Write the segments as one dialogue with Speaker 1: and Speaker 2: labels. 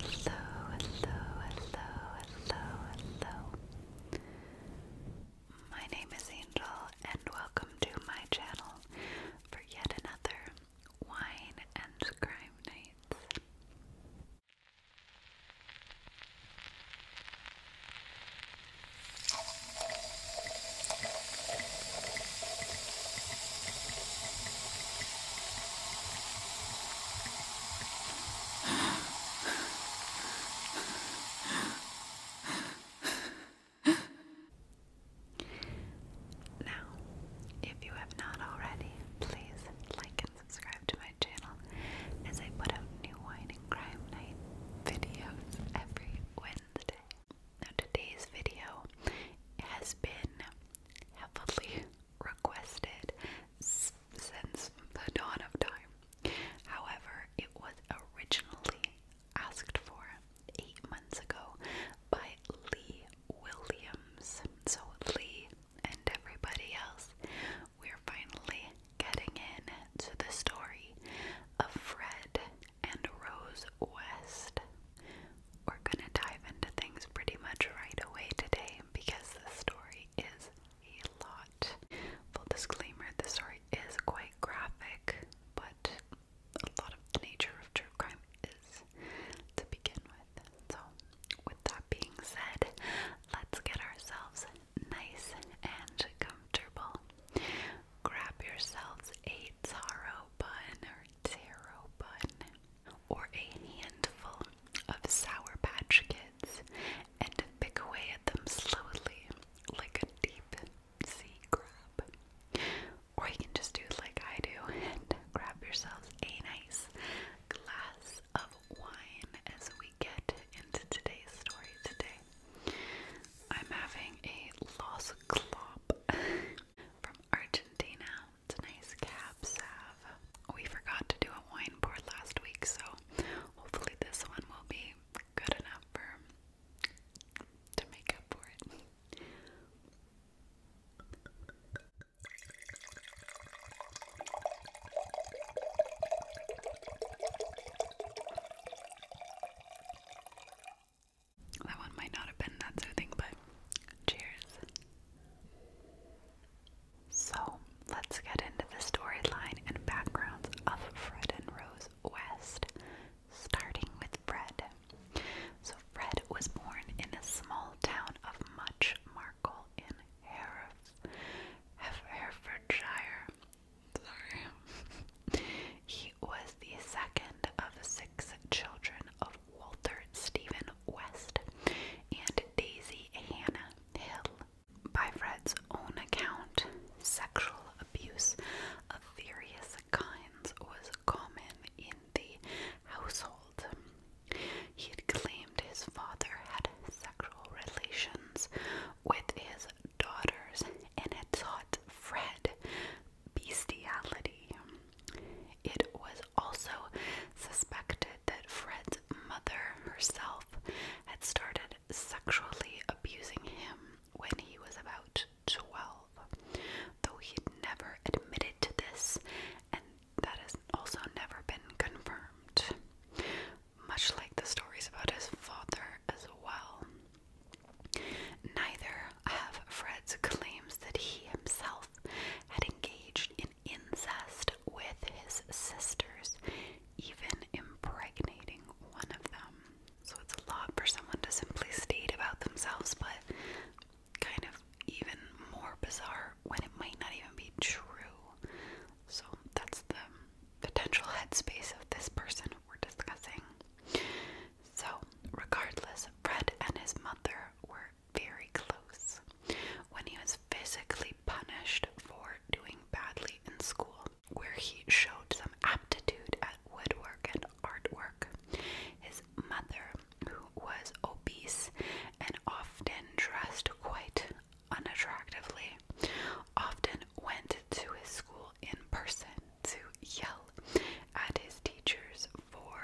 Speaker 1: Hello, hello, hello, hello, hello. My name is Angel, and welcome to my channel for yet another wine and crime night. Now, if you have not already, please like and subscribe to my channel as I put out new wine and crime night videos every Wednesday. Now, today's video has been heavily requested since the dawn of time. However, it was originally asked for eight months ago by Lee Williams. So, Lee and everybody else, we're finally getting in to the story of Fred and Rose West. We're gonna dive into things pretty much right away today because the story is a lot. Full disclaimer this story is quite graphic, but a lot of the nature of true crime is to begin with. So, with that being said, let's get ourselves nice and comfortable. Grab yourselves a taro bun or taro bun, or a handful of Sour Patch Kids and pick away at them slowly like a deep sea crab. Or you can just do like I do and grab yourselves a nice glass of wine as we get into today's story today. I'm having a loss clop. From Argentina. It's a nice cab We forgot to do a wine pour last week, so hopefully this one will be good enough for to make up for it. That one might not have been that soothing, but cheers. So let's get into the storyline and backgrounds of Fred and Rose West, starting with Fred. So, Fred was born in a small town of Much Markle in Heref Heref Herefordshire. Sorry. he was the second of six children of Walter Stephen West, and Daisy Hannah Hill. By Fred's own account, sexual abuse of various kinds was common in the household. He had claimed his father had sexual relations with his daughters and had taught Fred bestiality. It was also suspected that Fred's mother herself had started sexually abusing him when he was about 12, though he'd never admitted to this, and that has also never been confirmed. Much like the stories about his father as well. Neither have Fred's claims that he himself had engaged in incest with his sisters, even impregnating one of them. So it's a lot for someone to simply state about themselves, but kind of even more bizarre when it might not even be true. So that's the potential headspace of this person we're discussing. So, regardless, Fred and his mother were very close when he was physically punished for doing badly in school, where he showed some aptitude at woodwork and artwork. His mother, who was obese and often dressed quite unattractively, often went to his school in person to yell at his teachers for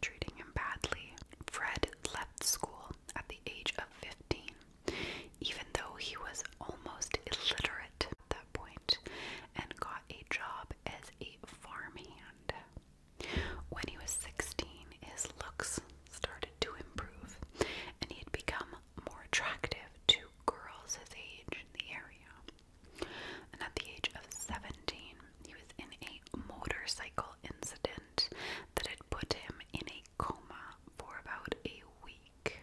Speaker 1: treating him badly. Fred left school at the age of 15, even though he was almost illiterate at that point, and got a job as a farmhand. When he was 16, his looks started to improve, and he had become more attractive to girls his age in the area. And at the age of 17, he was in a motorcycle incident that had put him in a coma for about a week,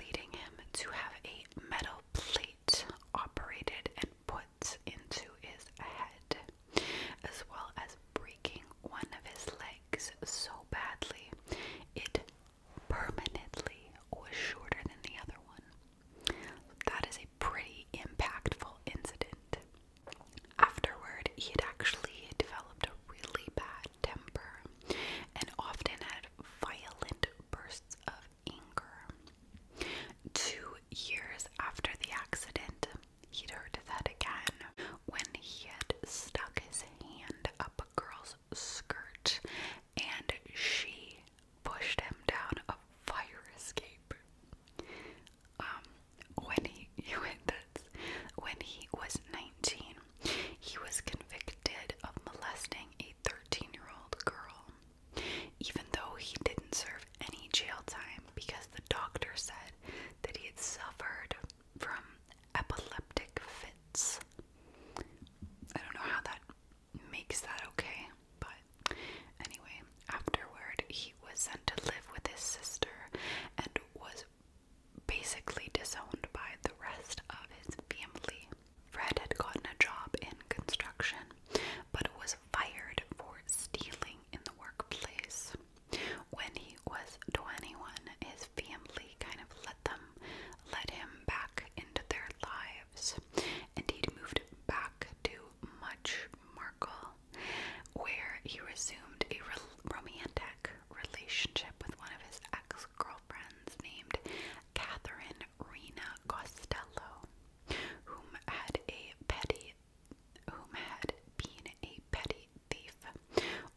Speaker 1: leading him to have a metal plate operated and put into his head, as well as breaking one of his legs so badly it permanently was shorter than the other one. That is a pretty impactful incident. Afterward, he had actually developed a really bad temper and often had violent bursts of anger. Two years after the accident, he'd hurt his again when he had stuck his hand up a girl's skirt and she pushed him down a fire escape. Um, when he you that's when he was 19, he was convicted of molesting a 13-year-old girl, even though he didn't serve any jail time because the doctor said that he had suffered from epileptic fits. I don't know how that makes that okay, but but anyway, afterward, he was sent to live with his sister and was basically disowned by the rest of his family. Fred had gotten a job in construction, but was fired for stealing in the workplace. When he was 21, his family kind of let them let him back into their lives, and he'd moved back to Much Markle Hospital, where he resumed a re romantic relationship with one of his ex girlfriends named Catherine Rena Costello, whom had a petty whom had been a petty thief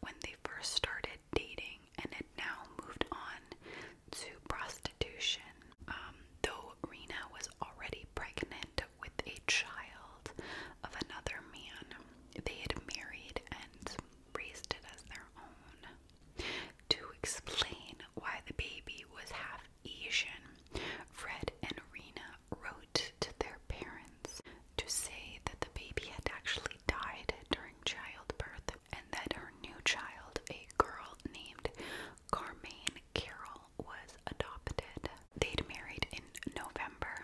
Speaker 1: when they first started dating and had now moved on to prostitution. Um, though Rena was already pregnant with a child of another man. They had married and raised it as their own. To explain why the baby was half Asian, Fred and Rena wrote to their parents to say that the baby had actually died during childbirth and that her new child, a girl named Carmaine Carol was adopted. They'd married in November,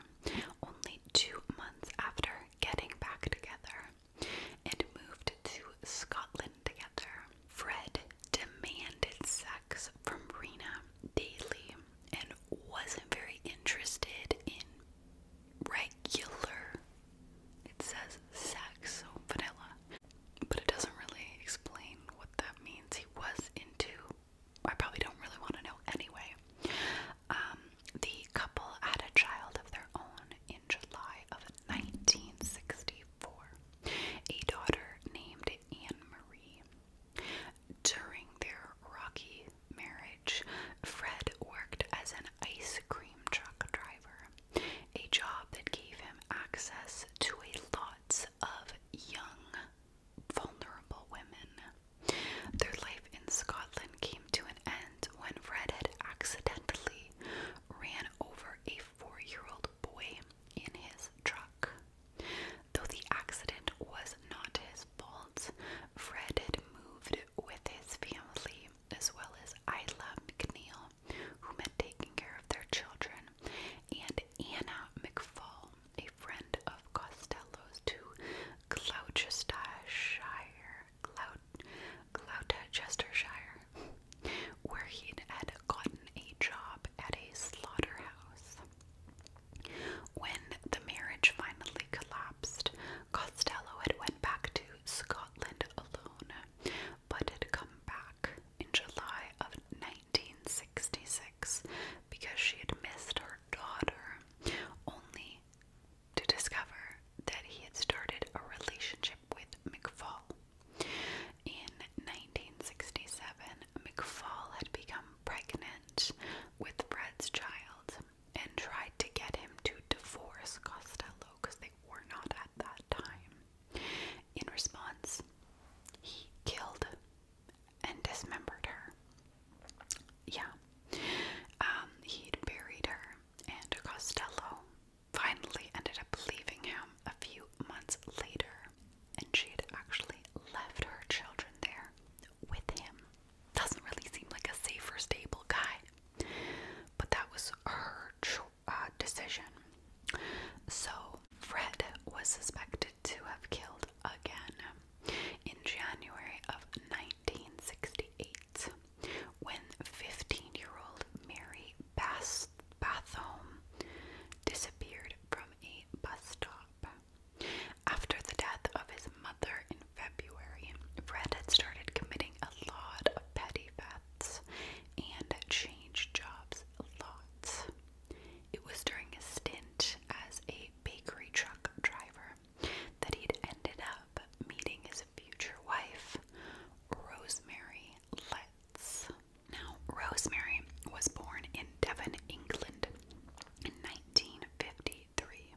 Speaker 1: only two months after getting back together, and moved to Scotland together. Fred demanded sex from Rena daily and wasn't very interested in regular, it says sex, so vanilla, but it doesn't really explain what that means. He was into, I probably don't really want to know anyway. Um, the couple had a child of their own in July of 1964, a daughter named Anne Marie. During their rocky marriage, Fred worked as an ice cream truck driver, a job that gave him access to a lot of young vulnerable women. Their life in Scotland came to an end when Fred had accidentally ran over a four year old boy in his truck. Though the accident was not his fault, Fred had moved with his family as well as Isla McNeil, who had taken care of their children and Anna McFall, a friend of Costello's to Gloucestershire, Gloucestershire, where he'd had gotten a job at a slaughterhouse. When the marriage finally collapsed, Costello had went back to Scotland alone, but had come back in July of 1966 because she had missed her daughter, only to discover that he had started a relationship with McFall. In 1967, McFall had become pregnant with Brett's child and tried to get him to divorce Costello because they were not at that time. In response, he killed and dismembered her. Yeah. Um, he'd buried her, and Costello finally ended up leaving him a few months later, and she had actually left her children there with him. Doesn't really seem like a safe or stable guy, but that was her uh, decision. So Fred was suspected to have killed again in January of 1968 when 15 year old Mary Bath Bathome disappeared from a bus stop. After the death of his mother in February, Fred had started committing a lot of petty thefts and changed jobs lots. It was during a stint as a bakery truck driver that he'd ended up meeting his future wife, Rosemary Letts. Now, Rosemary was born in Devon, England in 1953.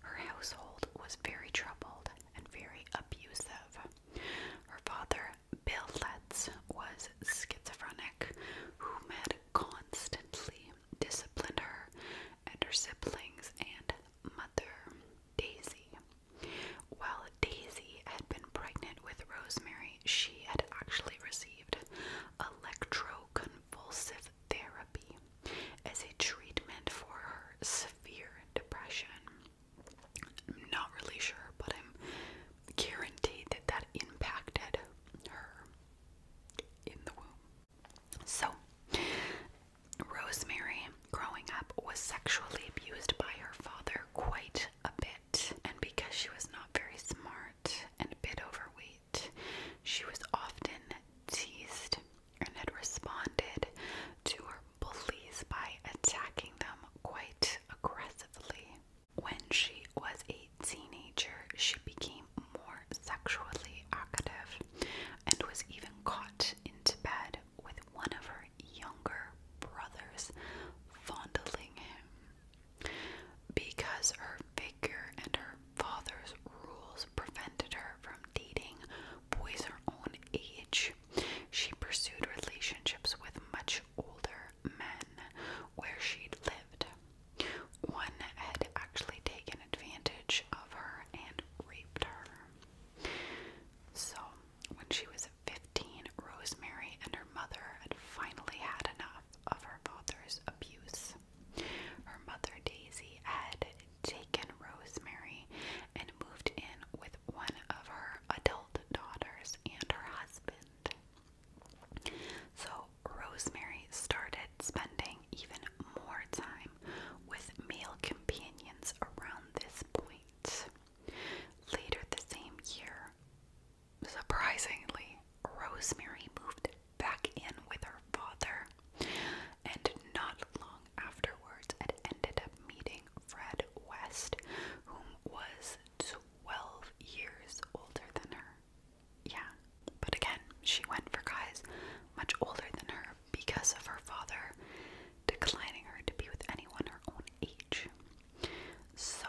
Speaker 1: Her household was very troubled and very abusive. Her father Bill Letts was schizophrenic, who had constantly disciplined her and her siblings and mother, Daisy. While Daisy had been pregnant with Rosemary, she had actually received electroconvulsive therapy as a treatment for her severe depression. not really sure, but I'm guaranteed that that impacted her in the womb. So, Rosemary, growing up, was sexually abused by her father quite a bit, and because she was not very smart and a bit overweight, she was often teased and had responded to her bullies by attacking them quite aggressively. When she was a teenager, she became more sexually active and was even caught in bed with one of her younger brothers fondling him. Because her figure and her father's rules prevented her from dating boys her own age, she pursued relationships with much older men where she'd lived. One had actually taken advantage of her and raped her. So, when she was 15, Rosemary and her mother had finally had enough of her father's abuse. Her mother, Daisy, had taken Rosemary and moved in with one of her adult daughters and her husband. So Rosemary started spending even more time with male companions around this point. Later the same year, surprisingly, Rosemary moved back in with her father, and not long afterwards, it ended up meeting Fred West, whom was to 12 years older than her. Yeah, but again, she went for guys much older than her because of her father declining her to be with anyone her own age. So,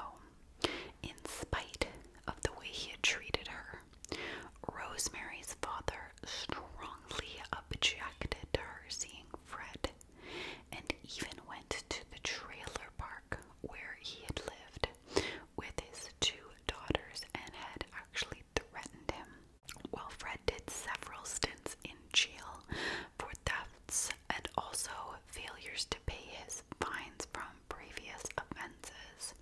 Speaker 1: in spite of the way he had treated her, Rosemary's father strongly objected to her seeing Fred and even went to the trailer park where he had lived with his two daughters and had actually threatened him. While Fred did several stints in jail for thefts and also failures to pay his fines from previous offenses,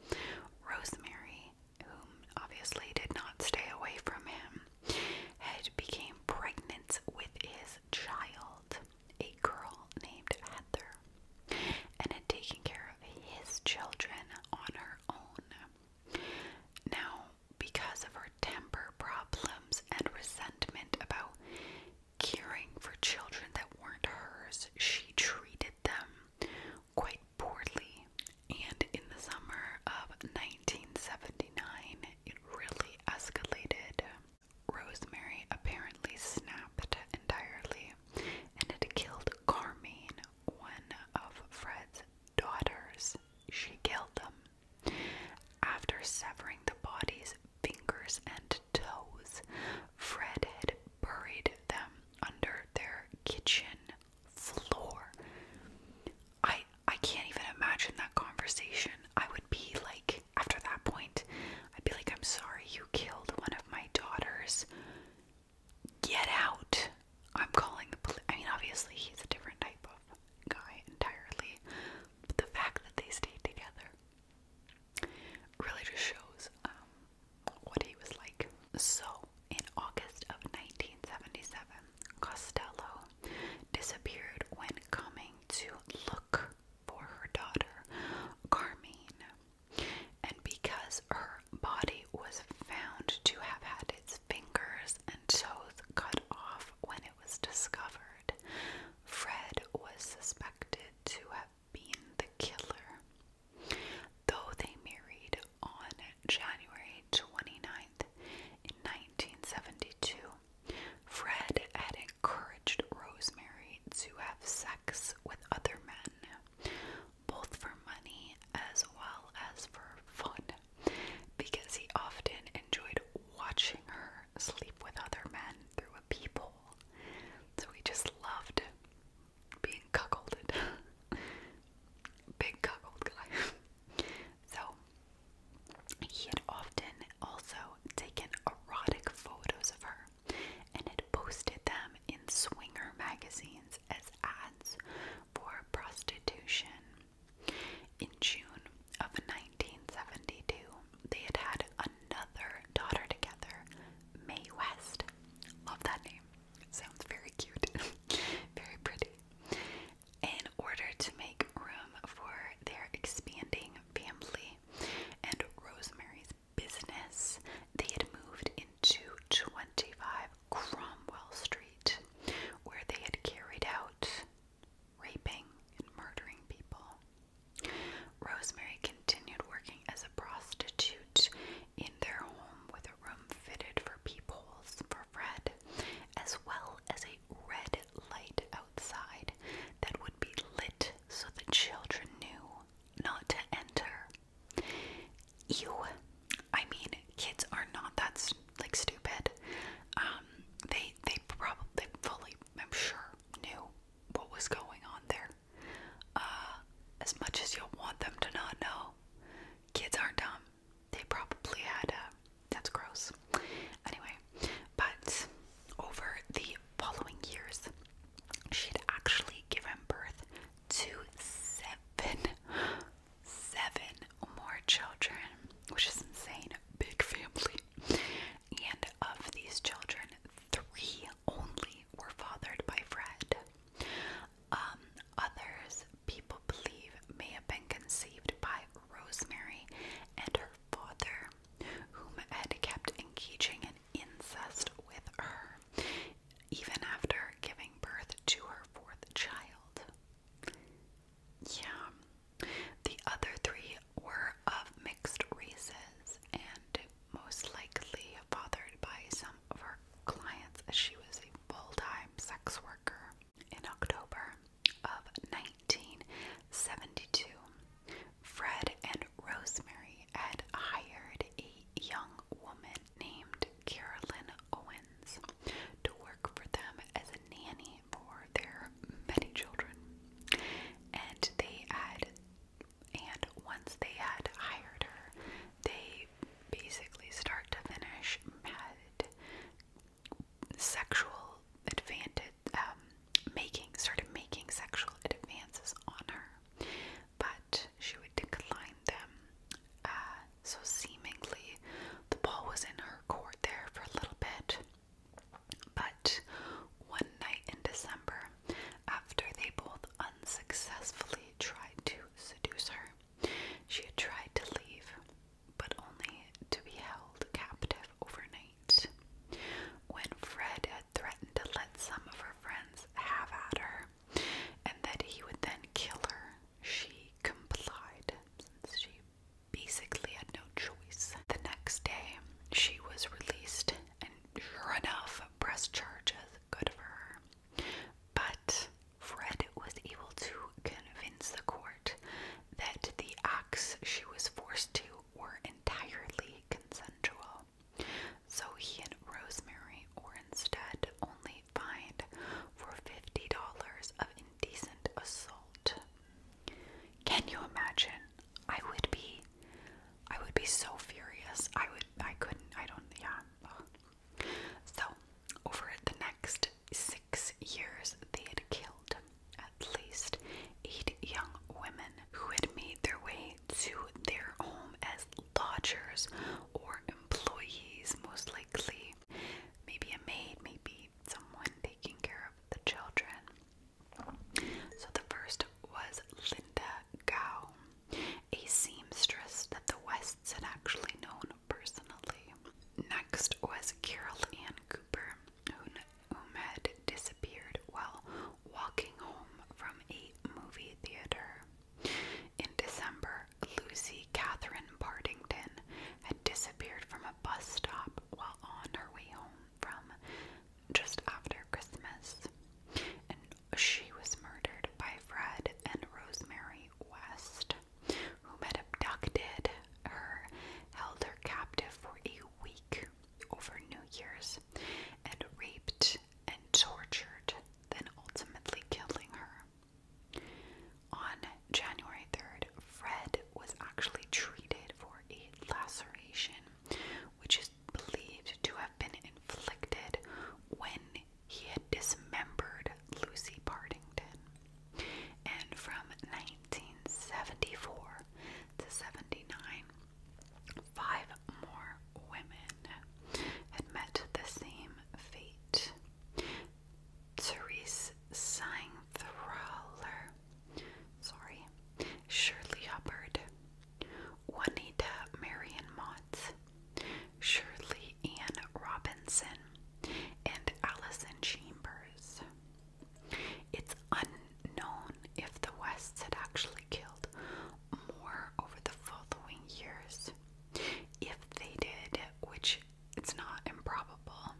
Speaker 1: Rosemary, whom obviously did not stay away from him, had became pregnant with his child a girl named Heather and had taken care of his children on her own. Now, because of her temper problems and resentment about caring for children that weren't hers, she treated them quite poorly. And in the summer of 1979, it really escalated. Rosemary apparently snapped entirely, and it killed Carmine, one of Fred's daughters. She killed them. After severing the body's fingers and toes, Fred had buried them under their kitchen floor. I I can't even imagine that conversation. I would be like after that point, I'd be like, I'm sorry you killed one of my daughters. Get out. I'm calling the police. I mean, obviously, he's a different type of guy entirely, but the fact that they stayed together really just shows um, what he was like. So, in August of 1977, Costello disappeared when coming to look for her daughter, Carmine, and because her body was found to have had its fingers and toes cut off when it was discovered, Fred was suspected to have been the killer. Though they married on January 29th in 1972, Fred had encouraged Rosemary to have sex with other men, both for money as well as for fun, because he often enjoyed watching her sleep with other men through a peephole. So he just loved being cuckolded. Big cuckold guy. so he had often also taken erotic photos of her and had posted them in swinger magazines as ads for prostitution. In June of 1972, they had had another daughter together, Mae West. Love that name. Sounds very cute, very pretty. In order to make room for their expanding family and Rosemary's business, they had moved into 25 Cromwell Street, where they had carried out raping and murdering people. Rosemary continued working as a prostitute in their home with a room fitted for peepholes for Fred, as well as a red light outside that would be lit so the children knew not to enter. Ew. I mean, kids are not that like stupid. Um, they they probably fully I'm sure knew what was going on there. Uh, as much as you want them to not know, kids aren't dumb. They probably had uh, that's gross. Anyway, but over the following years, she had actually given birth to seven, seven more children, which is insane. Big family. And of these children, three only were fathered by Fred. Um, others, people believe, may have been conceived by Rosemary and her father, whom had kept engaging in incest with her, even after giving birth to her fourth child. Yeah. The other three were of mixed races and most likely fathered by some of her clients as she was a full time sex worker. In October of 1972, Fred and Rosemary had hired a young woman named Carolyn Owens to work for them as a nanny for their many children. And they had, and once they had hired her, they basically start to finish had sexual advantage, um, making started making sexual advances on her, but she would decline them. Uh, so seemingly, the ball was in her court there for a little bit. But one night in December, after they both unsuccessfully tried to seduce her, she had tried to leave, but only to be held captive overnight. When Fred had threatened to let some of her friends have at her and that he would then kill her, she complied since she basically had no choice. The next day, she was released, and sure enough, press charges good for her. But Fred was able to convince the court that the acts she was forced to were entirely consensual. So he and Rosemary or instead only find for $50 of indecent assault. Can you imagine? I would be I would be so furious. I would I couldn't I don't yeah. So over the next six years they had killed at least eight young women who had made their way to their home as lodgers or employees, most likely. Maybe a maid, maybe someone taking care of the children. So the first was Linda Gow, a seamstress that the Wests had actually known personally. Next was Carol Ann Cooper, who had disappeared while walking home from a movie theater. In December, Lucy Catherine Partington had disappeared from a bus stop while on her way home from just after Christmas. And she was murdered by Fred and Rosemary West, whom had abducted her, held her captive for a week over New Year's and raped and tortured, then ultimately killing her. On January 3rd, Fred was actually treated for a laceration, which is believed to have been inflicted when he had dismembered Lucy Partington. And from 1974 to 79, Five more women had met the same fate. Therese Seingthraler, sorry, Shirley Hubbard, Juanita Marion Mott, Shirley Ann Robinson, and Allison Chambers. It's unknown known if the Wests had actually killed more over the following years. If they did, which it's not improbable,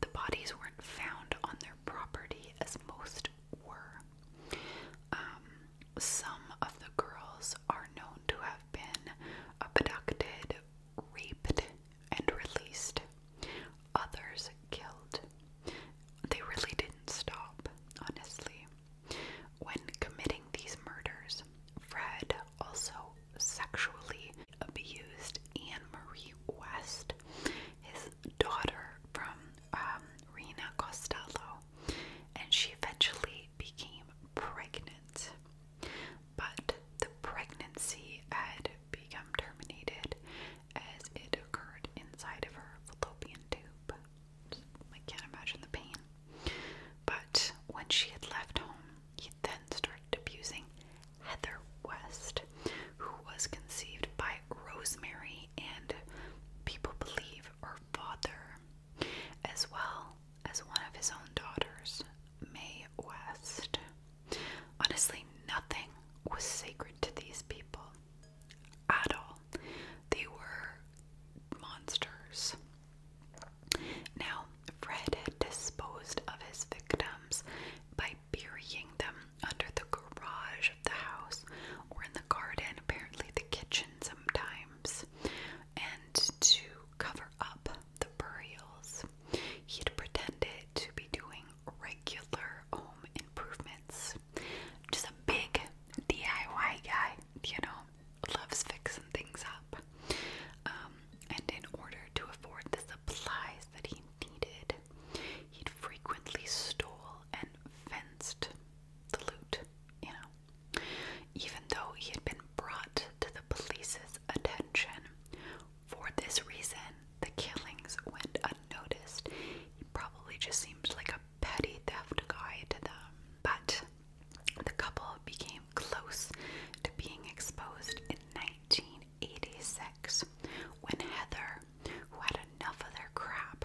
Speaker 1: the bodies weren't found on their property as most were. Um, some of the girls are known to have been abducted, raped, and released, others killed. They really didn't stop, honestly. When committing these murders, Fred also sexually abused Anne Marie West, his daughter from um, Rena Costello, and she eventually became pregnant. But the pregnancy had become terminated as it occurred inside of her fallopian tube. I can't imagine the pain. But when she had left home, he then started abusing Heather West, who was conceived by Rosemary and people believe her father, as well as one of his own daughters, May West. Honestly, nothing was sacred to these people at all. They were monsters. Now, Fred had disposed of his victims by burying them under the garage of the house or in the garden, apparently the kitchen sometimes, and to cover up the burials. He'd pretended to be doing regular home improvements. Just a big DIY guy, you know, loves fixing things up. Um, and in order to afford the supplies that he needed, he'd frequently stole and fenced the loot, you know. Even though he had been brought to the police's attention, for this reason, the killings went unnoticed. He probably just seems like a petty theft guy to them. But the couple became close to being exposed in 1986 when Heather, who had enough of their crap,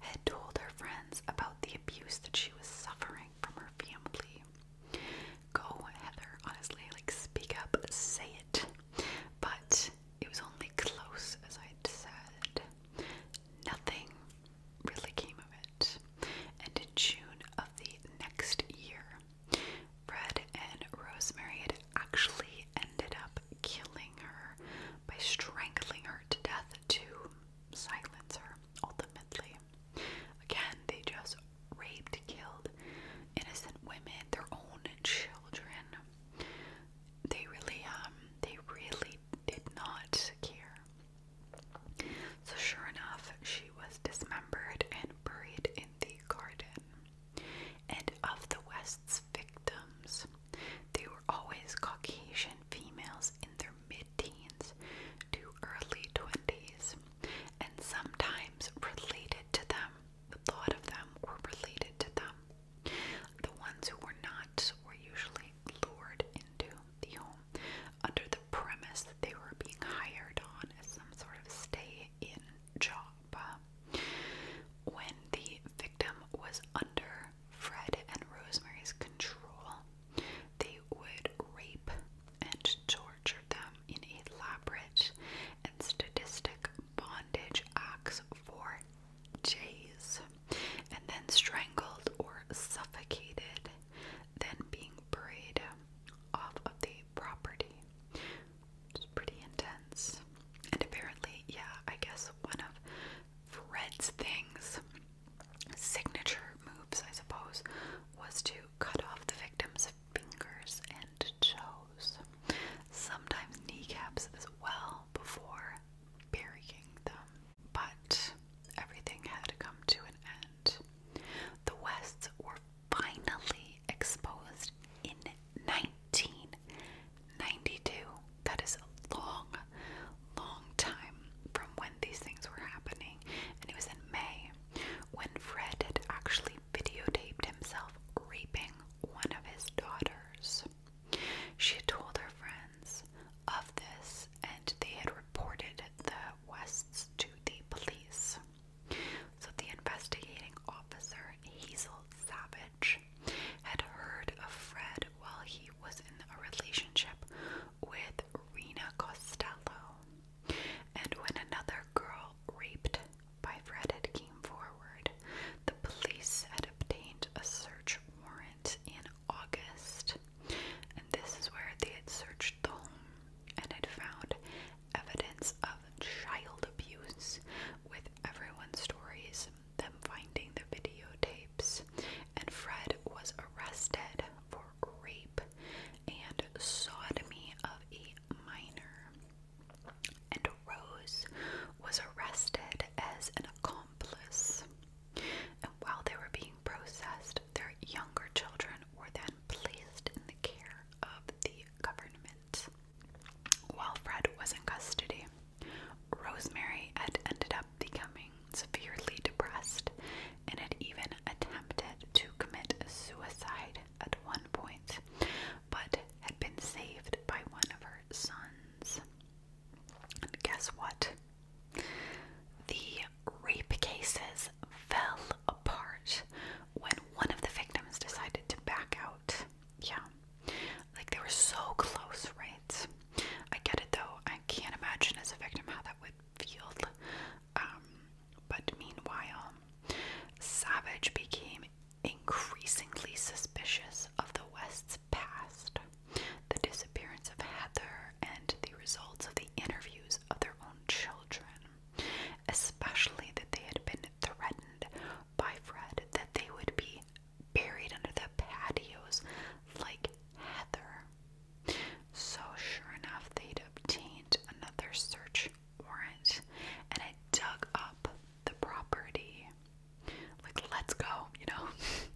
Speaker 1: had told her friends about the abuse that she was suffering from her family. Go, Heather, honestly, like speak up, say it. But it was only close, as I'd said nothing really came of it. And in June of the next year, Fred and Rosemary had actually ended up killing her by strangling her to death to silence her ultimately. Again, they just raped, killed innocent women, their own children. They really, um, they really did not secure. So, sure enough, she was dismembered and buried in the garden. And of the West's victims, they were always Caucasian females in their mid teens to early 20s, and sometimes related to them. The thought of them were related to them. The ones who were not were usually lured into the home under the premise that they were being hired on as some sort of stay in job. When the victim was under Fred and Rosemary's control, they would rape and torture them in elaborate and sadistic bondage acts for J's, and then strangled or suffocated, then being buried off of the property. It's pretty intense. And apparently, yeah, I guess one of Fred's things, signature moves, I suppose, was to cut off the victim's fingers and toes, sometimes kneecaps as well, before burying them. But everything had come to an end. The Wests were finally exposed in 1992. That is a long, long time from when these things were happening. And it was in May when Fred had actually videotaped himself raping one of his daughters. She had told her friends of this, and they had reported the Wests to the police. So the investigating officer, Hazel Savage, had heard of Fred while he was in a relationship with Rena Costello. And when another girl raped by Fred had came forward, the police had obtained a search warrant in August, and this is where they had searched the home and had found evidence of child abuse, with everyone's stories, them finding the videotapes, and Fred was arrested for rape and sodomy of a minor. And Rose was arrested as an accomplice. And while they were being processed, their younger children were then placed in the care of the government. While Fred was in custody, Rosemary had ended up becoming severely depressed and had even attempted to commit suicide at one point, but had been saved by one of her sons. And guess what? The rape cases fell apart when one of the victims decided to back out. Yeah. Like they were so close, right? I get it though. I can't imagine as a victim how that would feel. Um, but meanwhile, Savage became increasingly suspicious of the West's past the disappearance of Heather, and the results of the interviews of their own children, especially that they had been threatened by Fred that they would be buried under the patios like Heather. So, sure enough, they'd obtained another search warrant and I dug up the property like let's go, you know.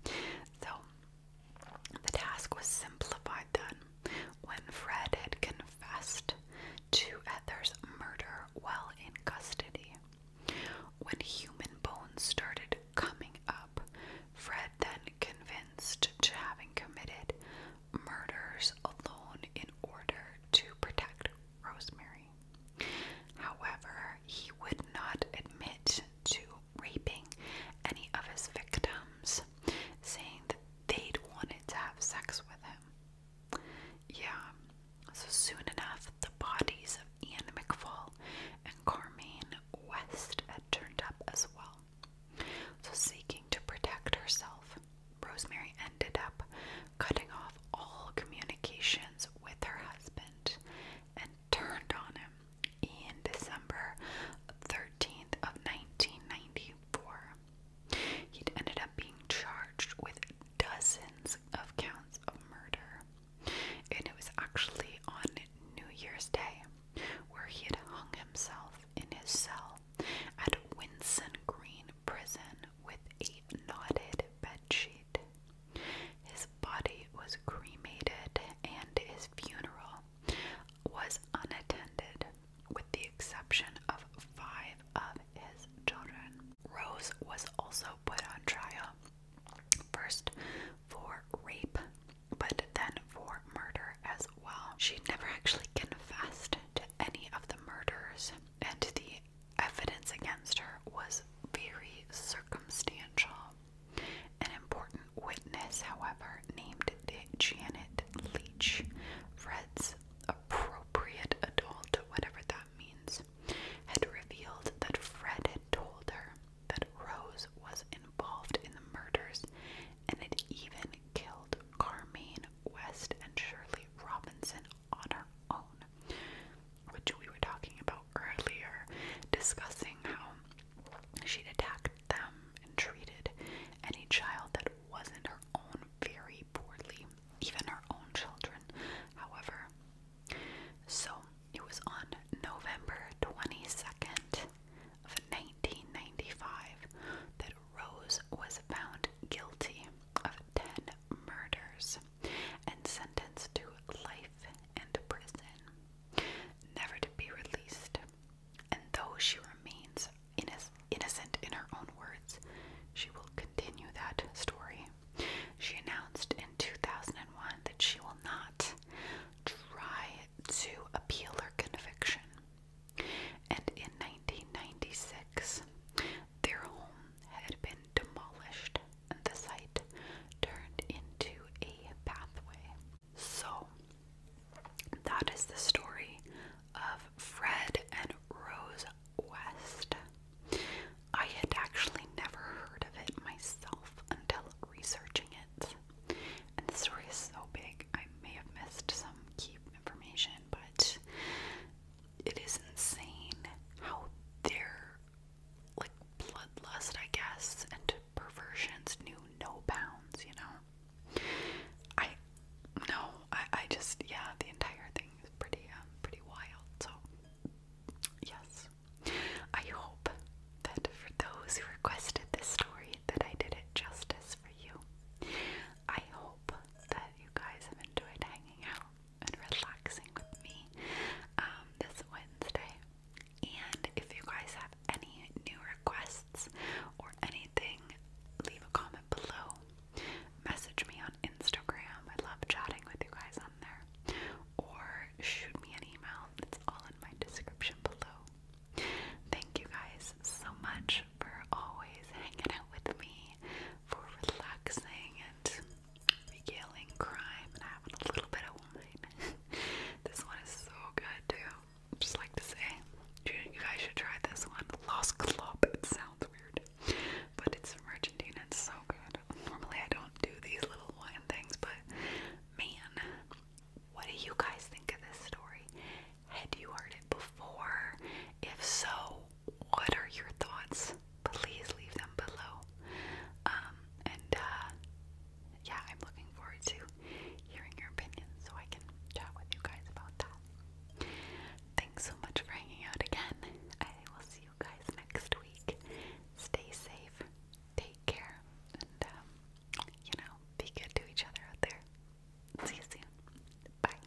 Speaker 1: so the task was simplified then when Fred had confessed to Ether's murder while in custody. When human bones started coming up, Fred then convinced to having committed murders alone in order to protect Rosemary. However, he would not admit to raping any of his victims, saying that they'd wanted to have sex with him. Yeah, so soon enough, the bodies of Ian McFall and Carmine West had turned up as well. So, seeking to protect herself, Rosemary ended up cutting off all communications with her husband turned on him in December 13th of 1994. He'd ended up being charged with dozens of counts of murder. And it was actually on New Year's Day where he would hung himself in his cell at Winson Green Prison with a knotted bedsheet. His body was cremated and his funeral was unattended, with the exception of five of his children. Rose was also put on trial, first for rape, but then for murder as well. She never actually confessed to any of the murders, and the evidence against her was very circumstantial. An important witness, however, named Janet Leach, Fred's appropriate adult, whatever that means, had revealed that Fred had told her that Rose was involved in the murders and had even killed Carmine West and Shirley Robinson on her own which we were talking about earlier, discussing how she'd attacked them and treated any child that wasn't her own very poorly, even her own children, however. So it was on November 22nd of 1995 that Rose was found guilty of 10 murders and sentenced to life in prison never to be released. And though she remains innocent in her own words, she will continue that story. She announced in 2001 that she will not try to appeal her conviction. And in 1996, their home had been demolished the site turned into a pathway. So, that is the story of Fred and Rose West. I had actually never heard of it myself until researching it. And the story is so big, I may have missed some key information, but it is insane how they're like bloodlust, I guess, and perversions knew no bounds, you know. I no, I, I just yeah, the entire thing is pretty um pretty wild. So yes. I hope that for those who requested this story that I did it justice for you. I hope that you guys have enjoyed hanging out and relaxing with me um, this Wednesday. And if you guys have any new requests or anything, leave a comment below. Message me on Instagram. I love chatting with you guys on there. Or shoot me an email. It's all in my description below. Thank you guys so much for always hanging out with me, for relaxing and yelling crime and having a little bit of wine. this one is so good too. Just like to say, you guys should try this one. Lost Club. It sounds weird, but it's from Argentina. It's so good. Normally I don't do these little wine things, but man, what do you guys think of this story? Had you heard it before? If so, what are your thoughts? Please leave them below. Um, and uh, yeah, I'm looking forward to hearing your opinions so I can chat with you guys about that. Thanks so much for hanging out again. I will see you guys next week. Stay safe, take care, and um, you know, be good to each other out there. See you soon. Bye.